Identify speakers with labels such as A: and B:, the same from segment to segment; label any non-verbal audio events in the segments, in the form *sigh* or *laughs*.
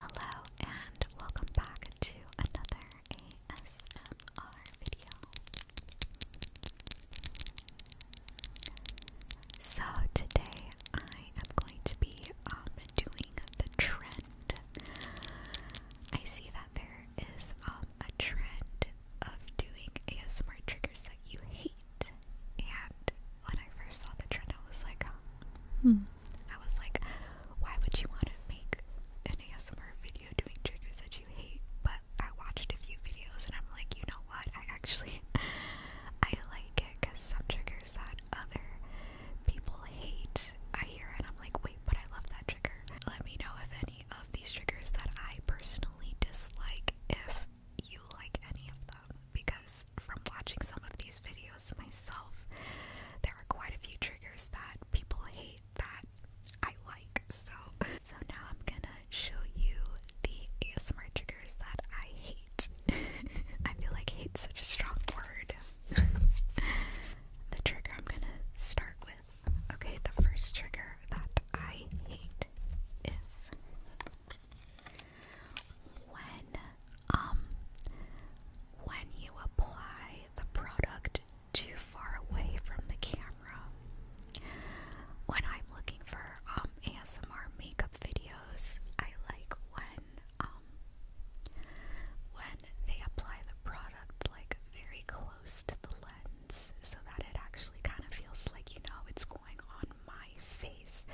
A: Hello and welcome back to another ASMR video. So today I am going to be um, doing the trend. I see that there is um, a trend of doing ASMR triggers that you hate. And when I first saw the trend, I was like, hmm. I was like, why would you want to make any ASMR video doing triggers that you hate? But I watched a few videos and I'm like, you know what? I actually, *laughs* I like it because some triggers that other people hate, I hear and I'm like, wait, but I love that trigger. Let me know if any of these triggers that I personally dislike, if you like any of them because from watching some of these videos myself, there are quite a few triggers that people hate that I like. So, *laughs* so now I'm gonna show you the ASMR triggers that I hate. *laughs* I feel like hate's such a strong word. *laughs* the trigger I'm gonna start with. Okay, the first trigger that I hate is when um when you apply the product too far away from the camera. When I'm looking for um ASMR makeup videos, I like when um when they apply the product like very close to the lens so that it actually kind of feels like you know it's going on my face.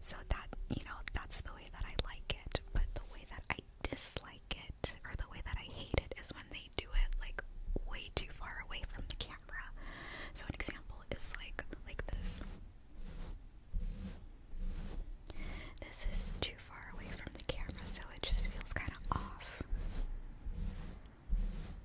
A: So that, you know, that's the way that I like it. But the way that I dislike it, or the way that I hate it, is when they do it like way too far away from the camera. So an example is like like this. This is too far away from the camera, so it just feels kind of off.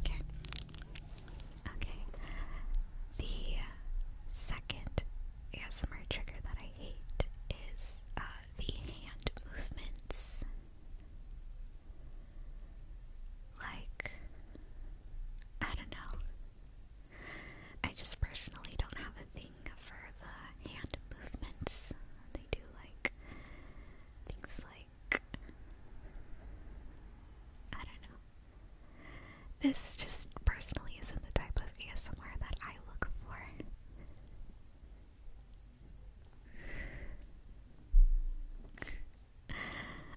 A: Okay. Okay. The second ASMR trigger that I hate is uh, the hand movements. Like, I don't know. I just personally don't have a thing for the hand movements. They do like things like I don't know. This just personally isn't the type of ASMR that I look for.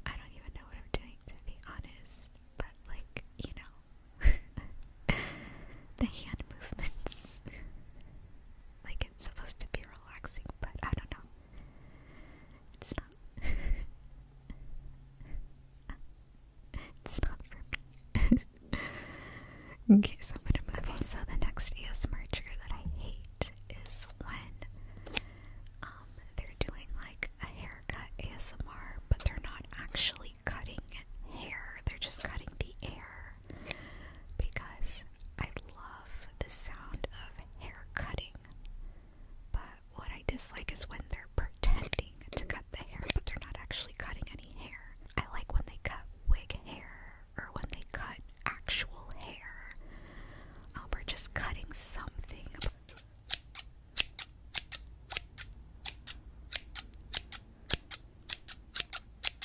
A: I don't even know what I'm doing to be honest, but like, you know, *laughs* the hand movements. Like it's supposed to be relaxing, but I don't know. It's not. *laughs* it's not for me. *laughs* okay, so the next ASMR that I hate is when um they're doing like a haircut ASMR, but they're not actually cutting hair. They're just cutting the air because I love the sound of hair cutting. But what I dislike is when they're pretending to cut the hair, but they're not actually cutting any hair. I like when they cut wig hair or when they cut actual hair. Um, or just cutting something.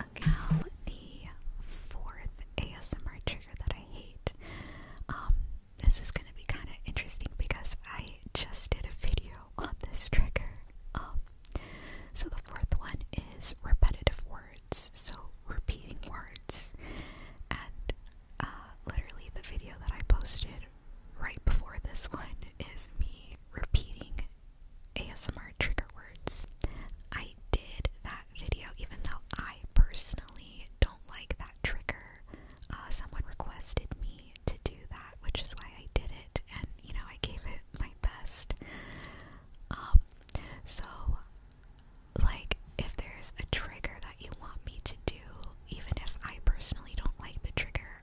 A: Okay, the fourth ASMR trigger that I hate. Um, this is gonna be kind of interesting because I just did a video on this trigger. Um, so the fourth one is repetitive words. So repeating words, and uh, literally the video that I posted right before this one is me repeating ASMR trigger words. I did that video even though I personally don't like that trigger. Uh, someone requested me to do that, which is why I did it, and you know, I gave it my best. Um, so, like, if there's a trigger that you want me to do, even if I personally don't like the trigger,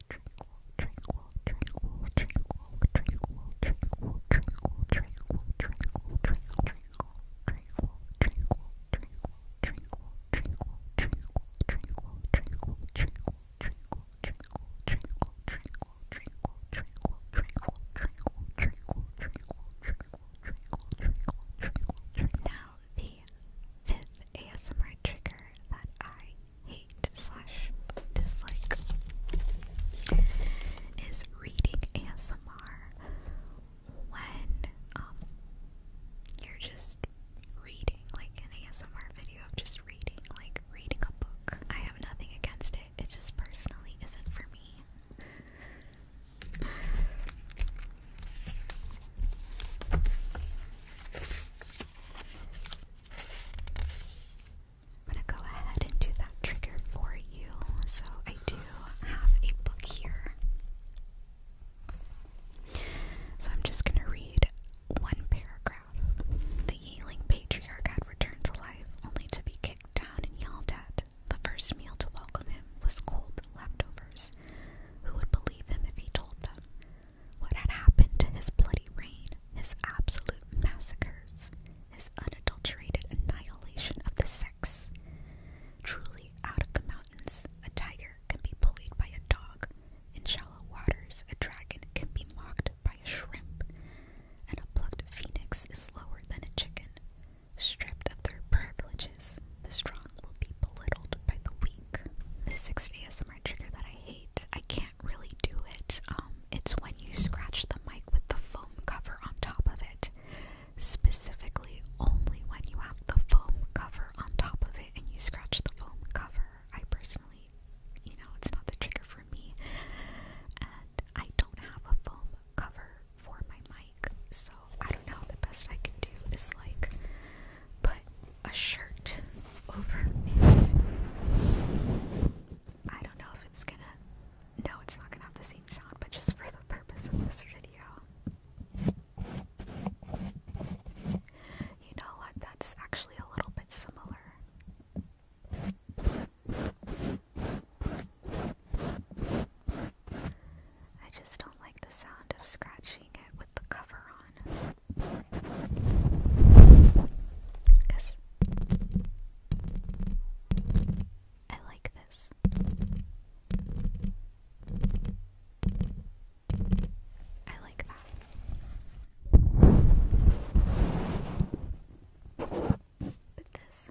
A: Now the fifth ASMR trigger that I hate slash dislike is reading ASMR when um, you're just reading like an ASMR video of just reading like reading a book. I have nothing against it. It just personally isn't for me. I'm gonna go ahead and do that trigger for you. So I do have a book here. So I'm just gonna read one paragraph. The Yeeling patriarch had returned to life, only to be kicked down and yelled at. The first meal to welcome him was cold leftovers. Who would believe him if he told them? What had happened to his bloody reign, his absolute massacres, his unadulterated annihilation of the sex? Truly, out of the mountains, a tiger can be bullied by a dog. In shallow waters, a dragon can be mocked by a shrimp, and a plucked phoenix is slower than a chicken. Stripped of their privileges, the strong will be belittled by the weak. The six ASMR trigger that I hate, I can't really do it. Um, it's when you scratch the mic with the foam cover on top of it. Specifically, only when you have the foam cover on top of it and you scratch the foam cover. I personally, you know, it's not the trigger for me. And I don't have a foam cover for my mic, so I don't know. The best I can do is like put a shirt over is I don't know if it's gonna no it's not gonna have the same sound but just for the purpose of this video you know what that's actually a little bit similar I just don't like the sound of scratching it with the cover on because I like this. I like that. But this.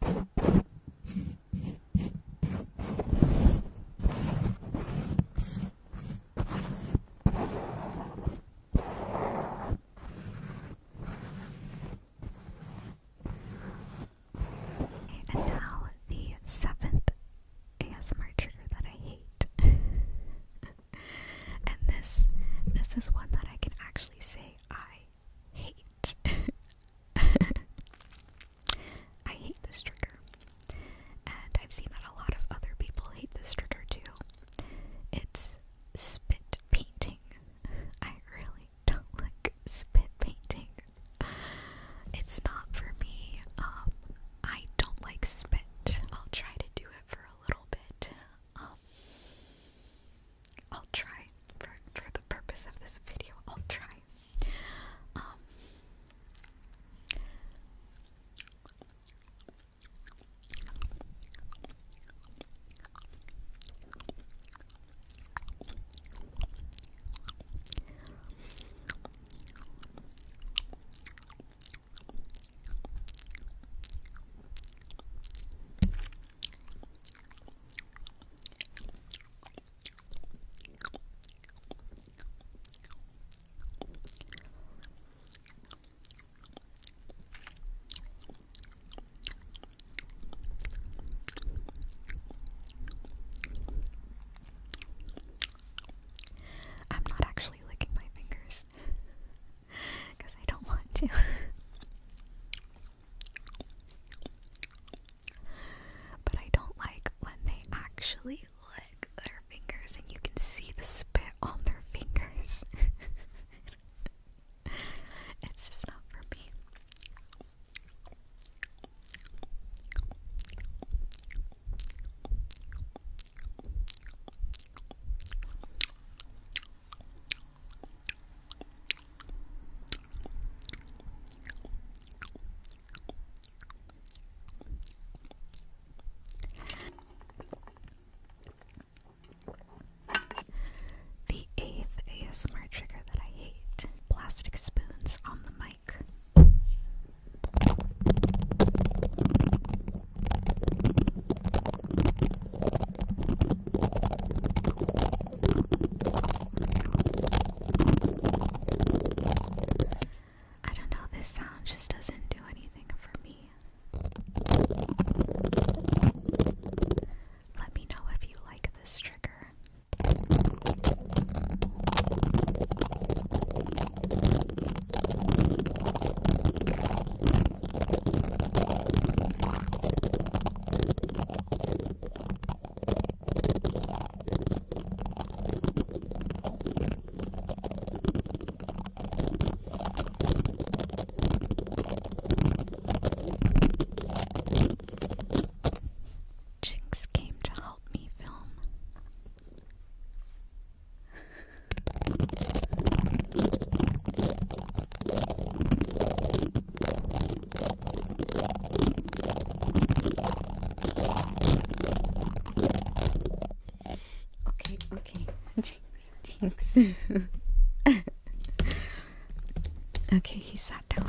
A: And now the seventh ASMR trigger that I hate. *laughs* and this this is one that I can actually say I hate. *laughs* I hate this trigger, and I've seen that a lot of other people hate this trigger too. It's spit painting. I really don't *laughs* like spit painting. It's not for me. Um, I don't like spit. I'll try to do it for a little bit. Um, I'll try for for the purpose of this video, I'll try. Um, I'm not actually licking my fingers because I don't want to. *laughs* But I don't like when they actually lick their fingers and you can see the spit on their fingers. *laughs* it's just not for me. The eighth ASMR trigger that I hate plastic spoons on the mic. I don't know, this sound just doesn't do anything for me. Let me know if you like this trigger. Jinx came to help me film. Okay, okay. *laughs* Jinx, jinx. *laughs* okay, he sat down.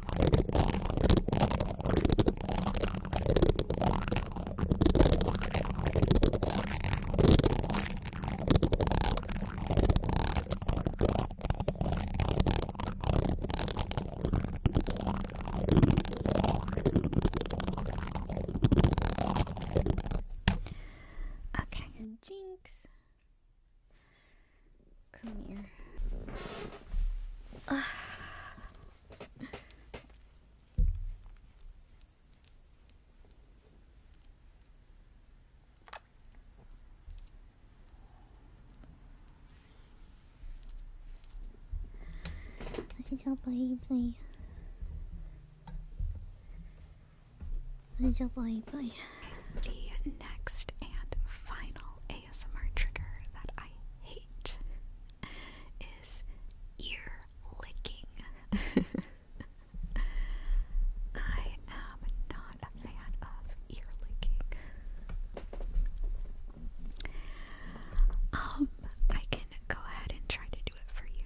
A: Okay, Jinx. Come here. Uh. Good baby. Good job, baby. The next and final ASMR trigger that I hate is ear licking. I am not a fan of ear licking. Um, I can go ahead and try to do it for you.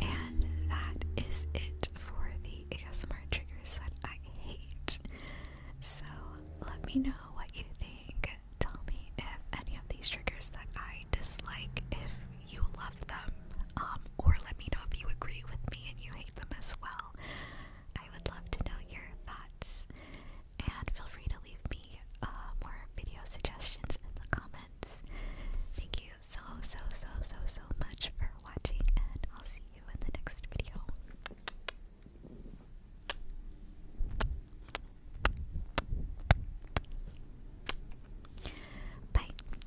A: And that is it for the ASMR triggers that I hate. So let me know what you think. Tell me if any of these triggers that I dislike, if you love them, um, or let me know if you agree with me and you hate them as well. I would love to know your thoughts. And feel free to leave me uh, more video suggestions in the comments. Thank you so, so, so, so, so much for watching, and I'll see you in the next video. Bye.